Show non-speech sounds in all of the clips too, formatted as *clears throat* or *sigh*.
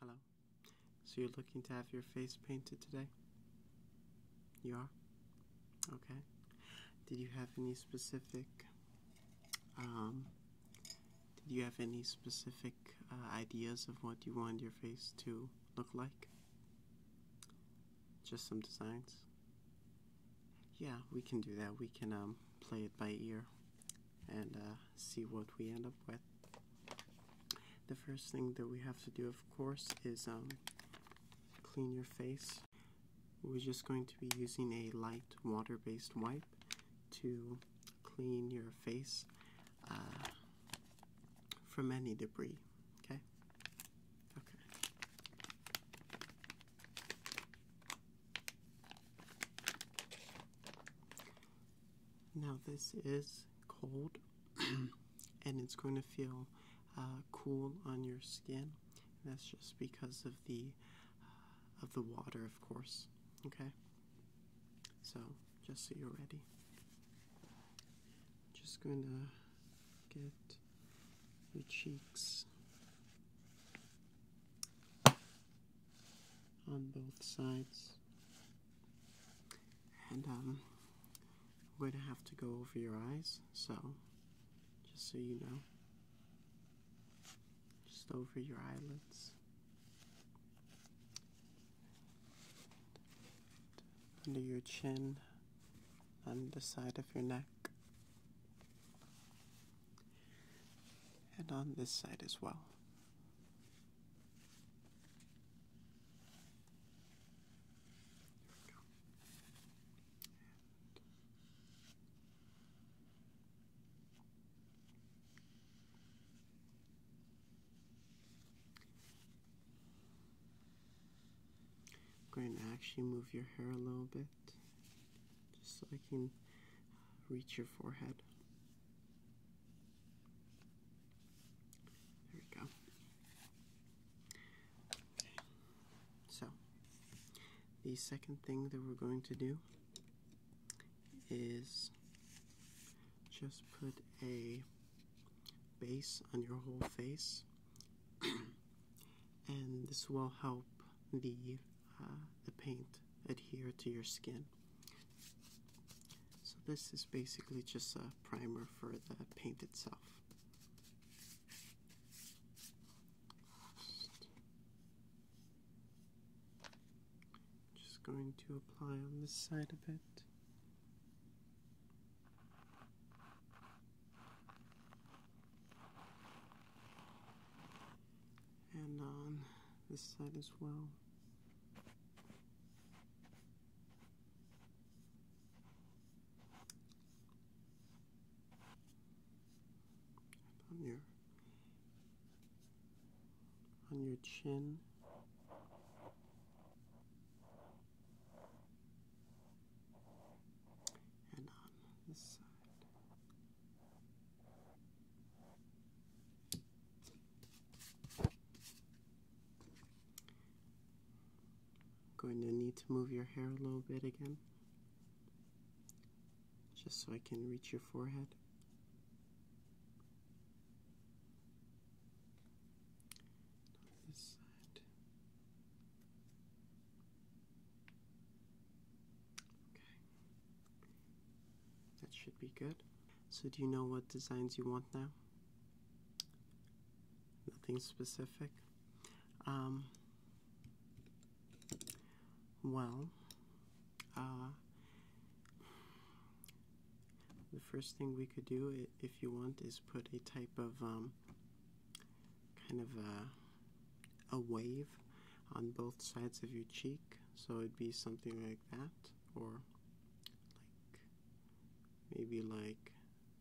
Hello. So you're looking to have your face painted today? You are? Okay. Did you have any specific um, did you have any specific uh, ideas of what you want your face to look like? Just some designs? Yeah, we can do that. We can um, play it by ear and uh, see what we end up with. The first thing that we have to do, of course, is um, clean your face. We're just going to be using a light water based wipe to clean your face uh, from any debris. Okay? Okay. Now, this is cold *clears throat* and it's going to feel uh, cool on your skin. that's just because of the uh, of the water, of course. Okay, so just so you're ready, just going to get your cheeks on both sides. And um, I'm going to have to go over your eyes, so just so you know, just over your eyelids. Under your chin, under the side of your neck, and on this side as well. going to actually move your hair a little bit just so I can reach your forehead. There we go. So, the second thing that we're going to do is just put a base on your whole face, *clears throat* and this will help the uh, the paint adhere to your skin. So, this is basically just a primer for the paint itself. Just going to apply on this side of it and on this side as well. on your on your chin. And on this side. Going to need to move your hair a little bit again, just so I can reach your forehead. this side. Okay. That should be good. So, do you know what designs you want now? Nothing specific. Um, well, uh, the first thing we could do, if you want, is put a type of um, kind of a a wave on both sides of your cheek, so it'd be something like that, or like maybe like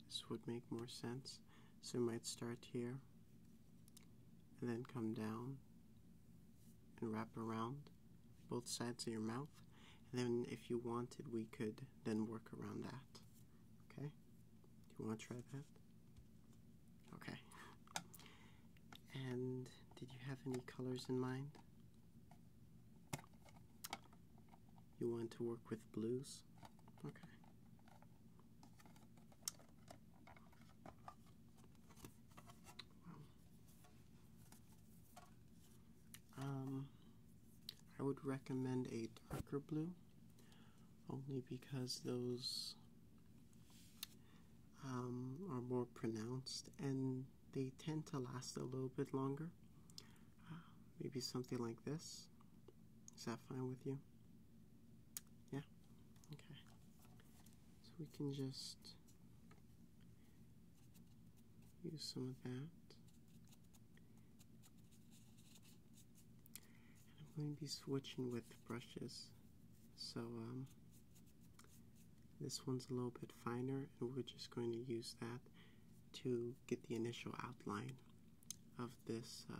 this would make more sense. So you might start here and then come down and wrap around both sides of your mouth. And then, if you wanted, we could then work around that. Okay? Do you want to try that? Okay. And did you have any colors in mind? You want to work with blues? Okay. Um, I would recommend a darker blue only because those um, are more pronounced and they tend to last a little bit longer. Ah, maybe something like this. Is that fine with you? Yeah? Okay. So we can just use some of that. I'm going to be switching with brushes. So um, this one's a little bit finer, and we're just going to use that to get the initial outline of this uh,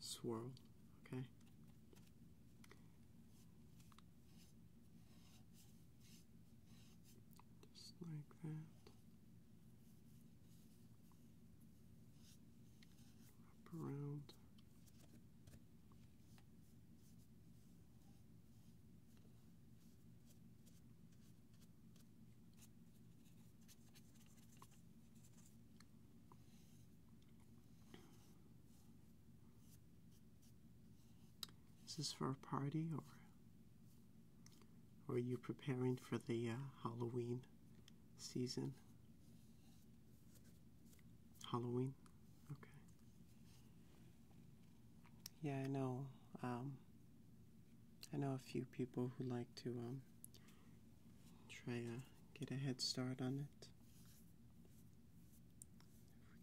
swirl. Okay. Just like that. Up Is this for a party or? are you preparing for the uh, Halloween season? Halloween? Okay. Yeah, I know. Um, I know a few people who like to um, try to get a head start on it.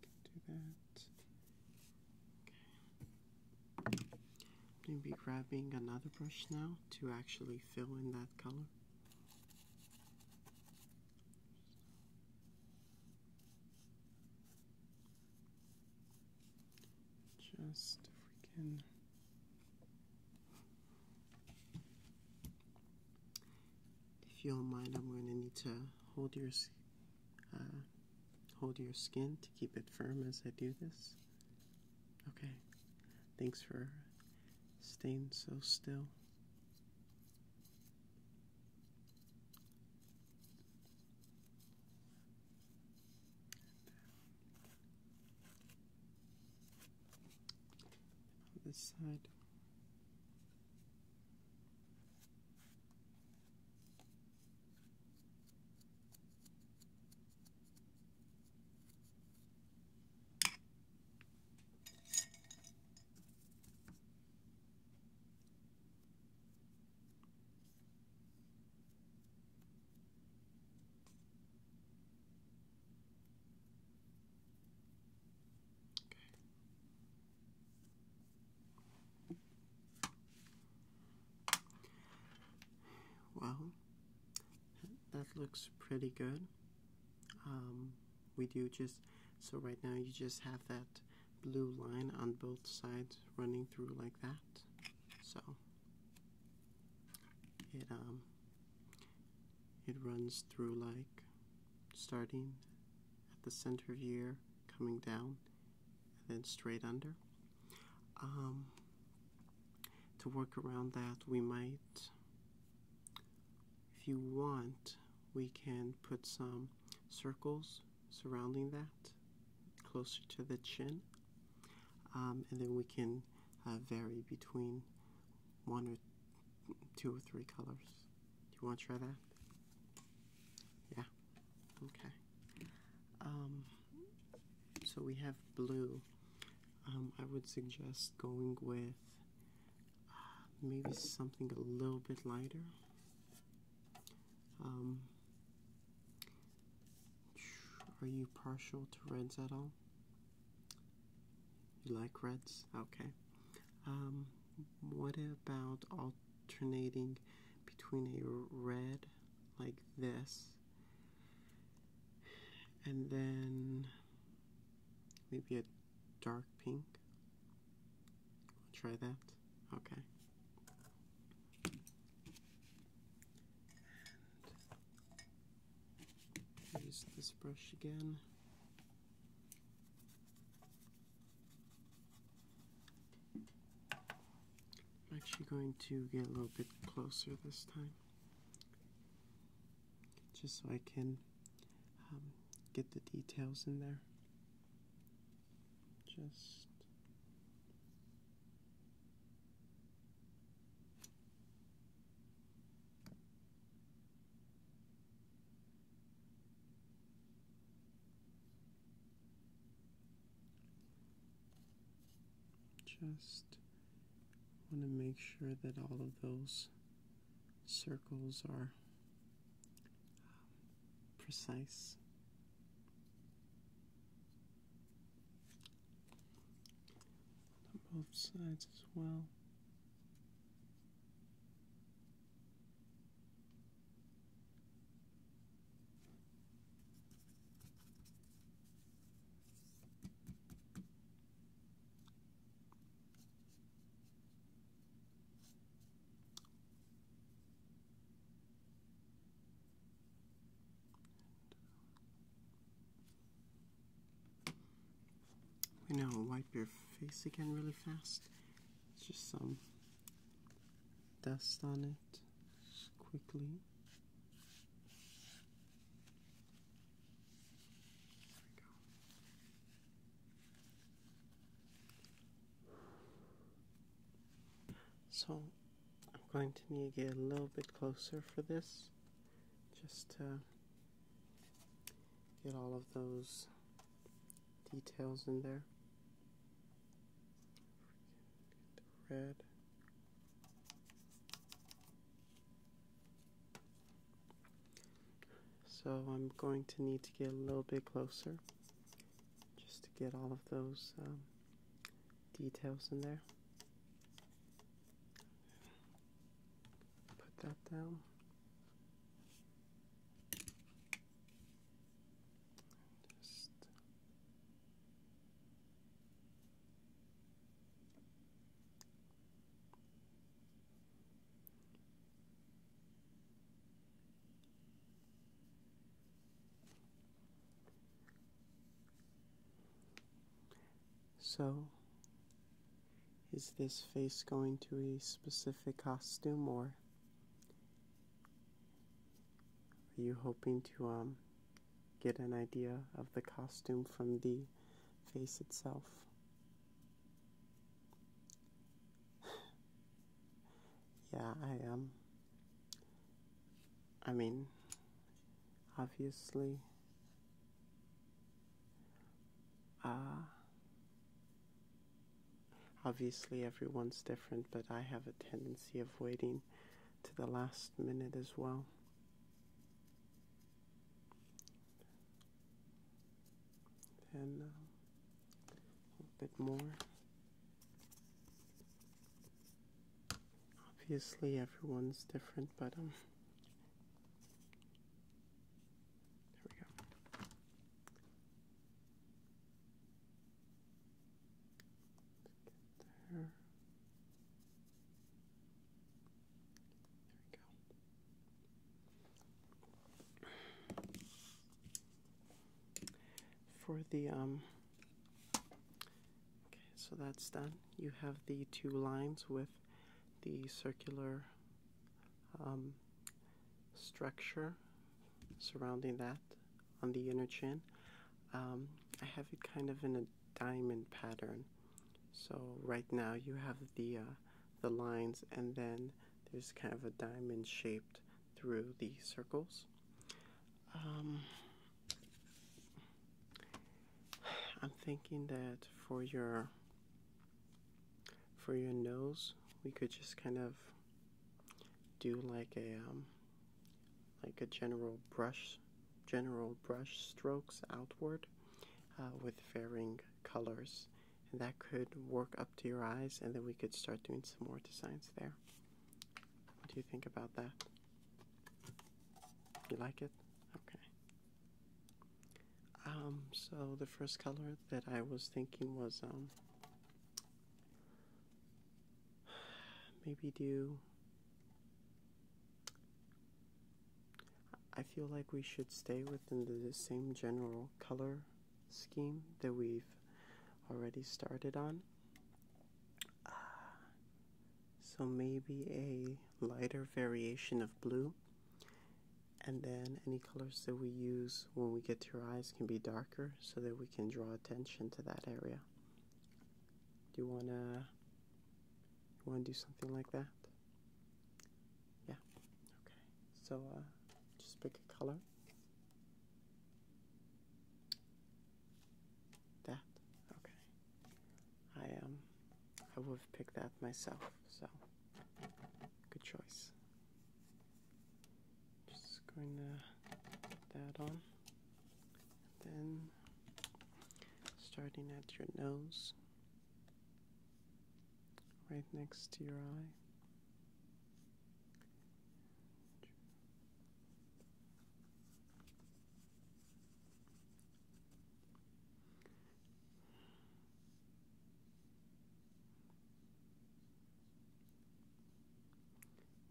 If we can do that. Okay. I'm going to be grabbing another brush now to actually fill in that color. Just if we can if you don't mind, I'm going to need to hold your uh, hold your skin to keep it firm as I do this. Okay. Thanks for staying so still. This side. Okay. Well, that looks pretty good. Um, we do just so right now you just have that blue line on both sides running through like that. So it um, it runs through like starting at the center of here, coming down, and then straight under. Um, to work around that, we might, if you want, we can put some circles surrounding that closer to the chin, um, and then we can uh, vary between one or two or three colors. Do you want to try that? Yeah. Okay. Um, so we have blue. Um, I would suggest going with uh, maybe something a little bit lighter. Um, are you partial to reds at all? You like reds? Okay. Um, what about alternating between a red like this and then maybe a dark pink. I'll try that. Okay. use this brush again. I'm actually going to get a little bit closer this time just so I can um, get the details in there. Just just want to make sure that all of those circles are um, precise. On both sides as well. We now wipe your face again really fast. It's just some dust on it. Just quickly. So, I'm going to need to get a little bit closer for this just to get all of those details in there. So I'm going to need to get a little bit closer just to get all of those um, details in there. Put that down. So, is this face going to a specific costume or are you hoping to um, get an idea of the costume from the face itself? *laughs* yeah, I am. Um, I mean, obviously, uh, obviously everyone's different, but I have a tendency of waiting to the last minute as well. And uh, a bit more. Obviously, everyone's different, but um. There we go there. There we go. For the um okay, so that's done. You have the two lines with the circular um structure surrounding that on the inner chin. Um, I have it kind of in a diamond pattern. So right now you have the uh, the lines, and then there's kind of a diamond shaped through the circles. Um, I'm thinking that for your for your nose, we could just kind of do like a um, like a general brush, general brush strokes outward uh, with varying colors, and that could work up to your eyes, and then we could start doing some more designs there. What do you think about that? You like it? Okay. Um, so the first color that I was thinking was um Maybe do. I feel like we should stay within the, same general color scheme that we've already started on. Uh, so maybe a lighter variation of blue, and then any colors that we use when we get to your eyes can be darker so that we can draw attention to that area. Do you wanna you wanna do something like that? Yeah. Okay. So uh, just pick a color. That? Okay. I um I would have picked that myself, so good choice. Just going to put that on. then starting at your nose, right next to your eye.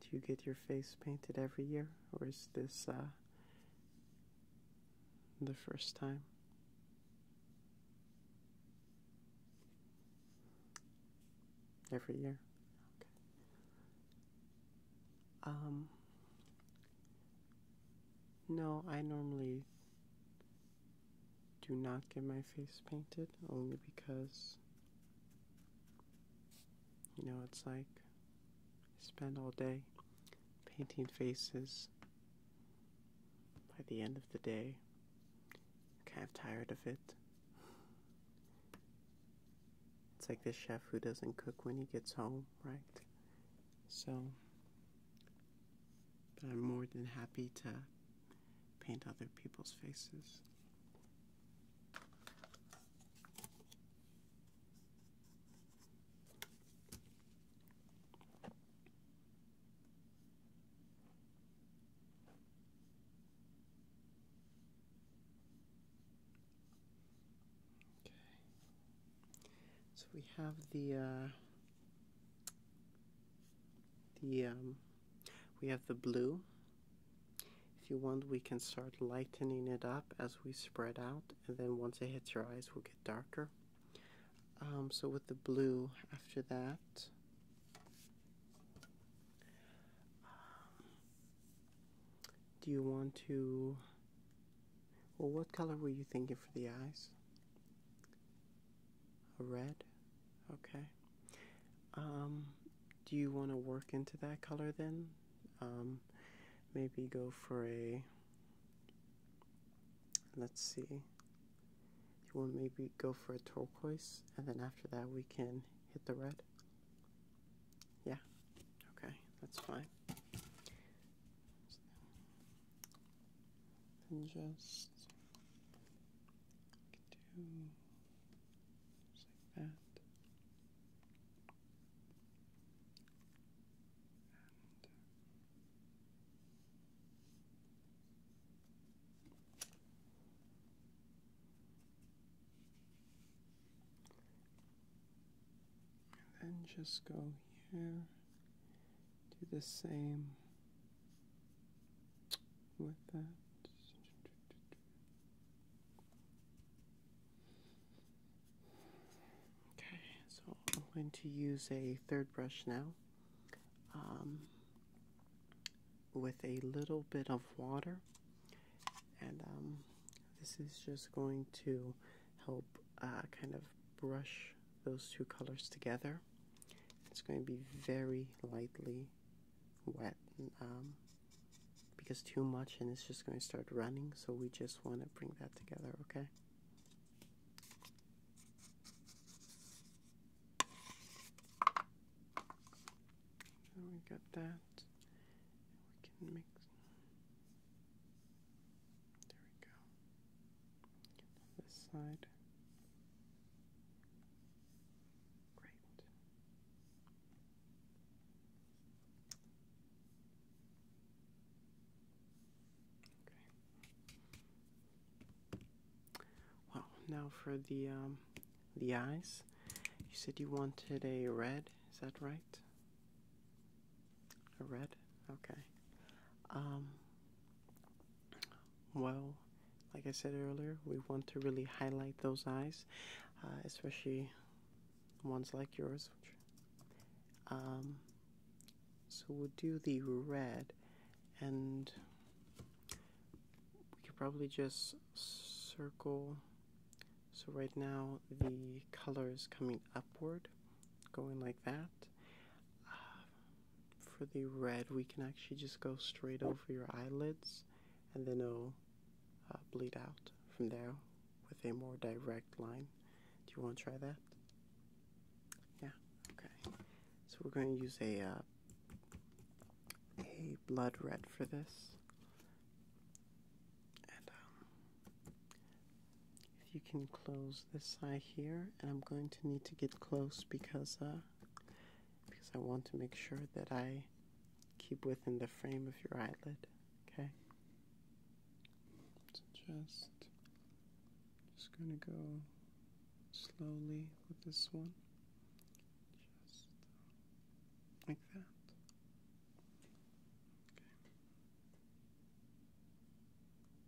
Do you get your face painted every year, or is this uh, the first time? Every year? Um, no, I normally do not get my face painted only because you know, it's like spend all day painting faces. By the end of the day, kind of tired of it. It's like the chef who doesn't cook when he gets home, right? So, I'm more than happy to paint other people's faces. Okay. So we have the uh, the um, we have the blue. If you want, we can start lightening it up as we spread out, and then once it hits your eyes, we will get darker. Um, so with the blue, after that, um, do you want to? Well, what color were you thinking for the eyes? A red? Okay. Um, do you want to work into that color then? Um, maybe go for a. Let's see. You want maybe go for a turquoise, and then after that we can hit the red. Yeah. Okay, that's fine. just do just like that. And then just go here, do the same with that. Okay, so I'm going to use a third brush now um, with a little bit of water, and um, this is just going to help uh, kind of brush those two colors together. It's going to be very lightly wet um, because too much and it's just going to start running. So we just want to bring that together, okay? So we got that. We can mix. There we go. This side. Great. Okay. Well, now for the um, the eyes. You said you wanted a red, is that right? A red? Okay. Um well, like I said earlier, we want to really highlight those eyes, uh, especially ones like yours. Um, so we'll do the red, and we can probably just circle. So right now the color is coming upward, going like that. Uh, for the red, we can actually just go straight over your eyelids and then it'll uh, bleed out from there with a more direct line. Do you want to try that? Yeah, okay. So we're going to use a, uh, a blood red for this. And um, if you can close this eye here and I'm going to need to get close because uh because I want to make sure that I keep within the frame of your eyelid. Okay. just just gonna go slowly with this one. Just like that. Okay.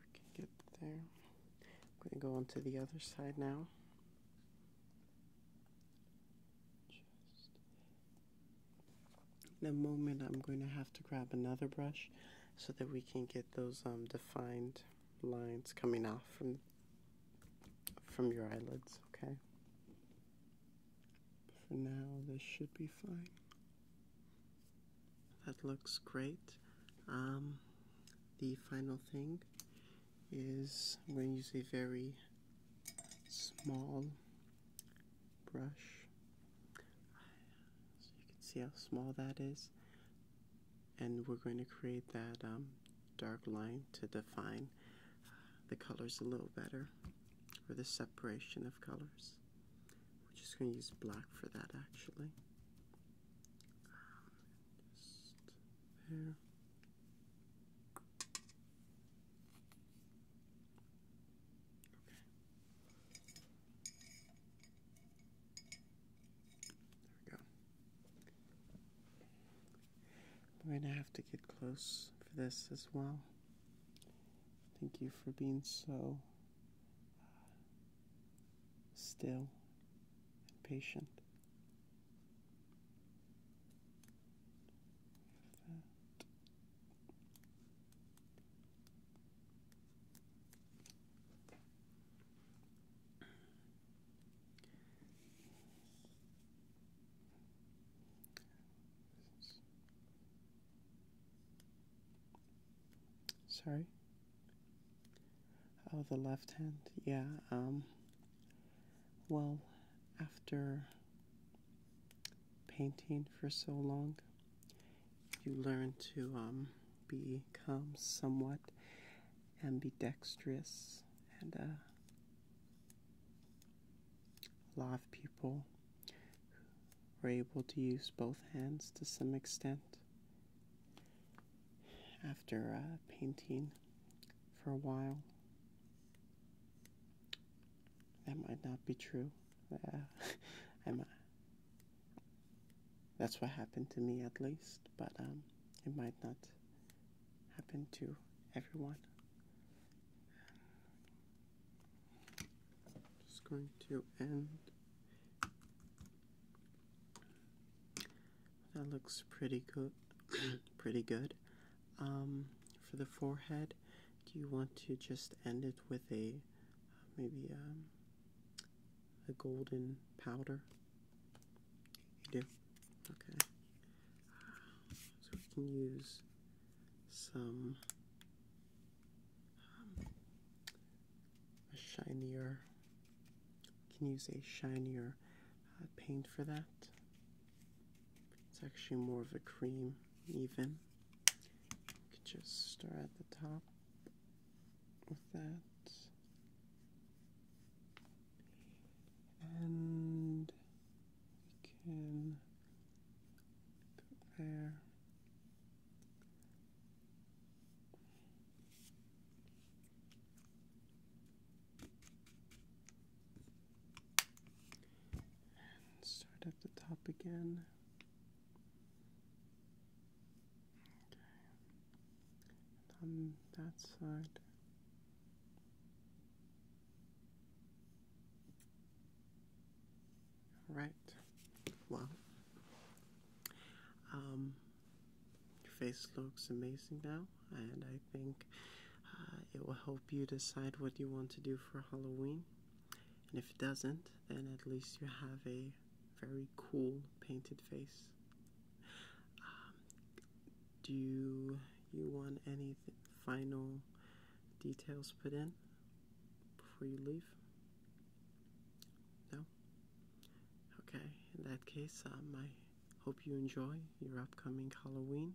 I can get there. I'm going to go on to the other side now. Just in a moment, I'm going to have to grab another brush so that we can get those um, defined lines coming off from from your eyelids. Okay. for now, this should be fine. That looks great. Um, the final thing is we're going to use a very small brush. So you can see how small that is. And we're going to create that um, dark line to define the colors a little better, for the separation of colors. We're just going to use black for that actually. Um, there. we go. I'm going to have to get close for this as well. Thank you for being so uh, still and patient. Sorry. Oh, the left hand. Yeah. Um, well, after painting for so long, you learn to um, become somewhat ambidextrous, and uh, a lot of people were able to use both hands to some extent after uh, painting for a while. That might not be true. Uh, *laughs* I'm, uh, that's what happened to me at least, but um, it might not happen to everyone just going to end. That looks pretty good. pretty good. Um, for the forehead, do you want to just end it with a maybe um, a golden powder? You do. Okay. So we can use some um, a shinier. Can use a shinier uh, paint for that. It's actually more of a cream, even. could just start at the top with that, and we can go there start at the top again. Okay. on that side. Right. Well, um, your face looks amazing now, and I think uh, it will help you decide what you want to do for Halloween. And if it doesn't, then at least you have a very cool painted face. Um, do you want any final details put in? before you leave? No? Okay, in that case, um, I hope you enjoy your upcoming Halloween,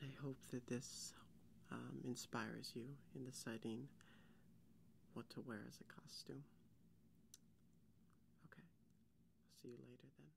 and I hope that this um, inspires you in deciding what to wear as a costume. Okay, I'll see you later then.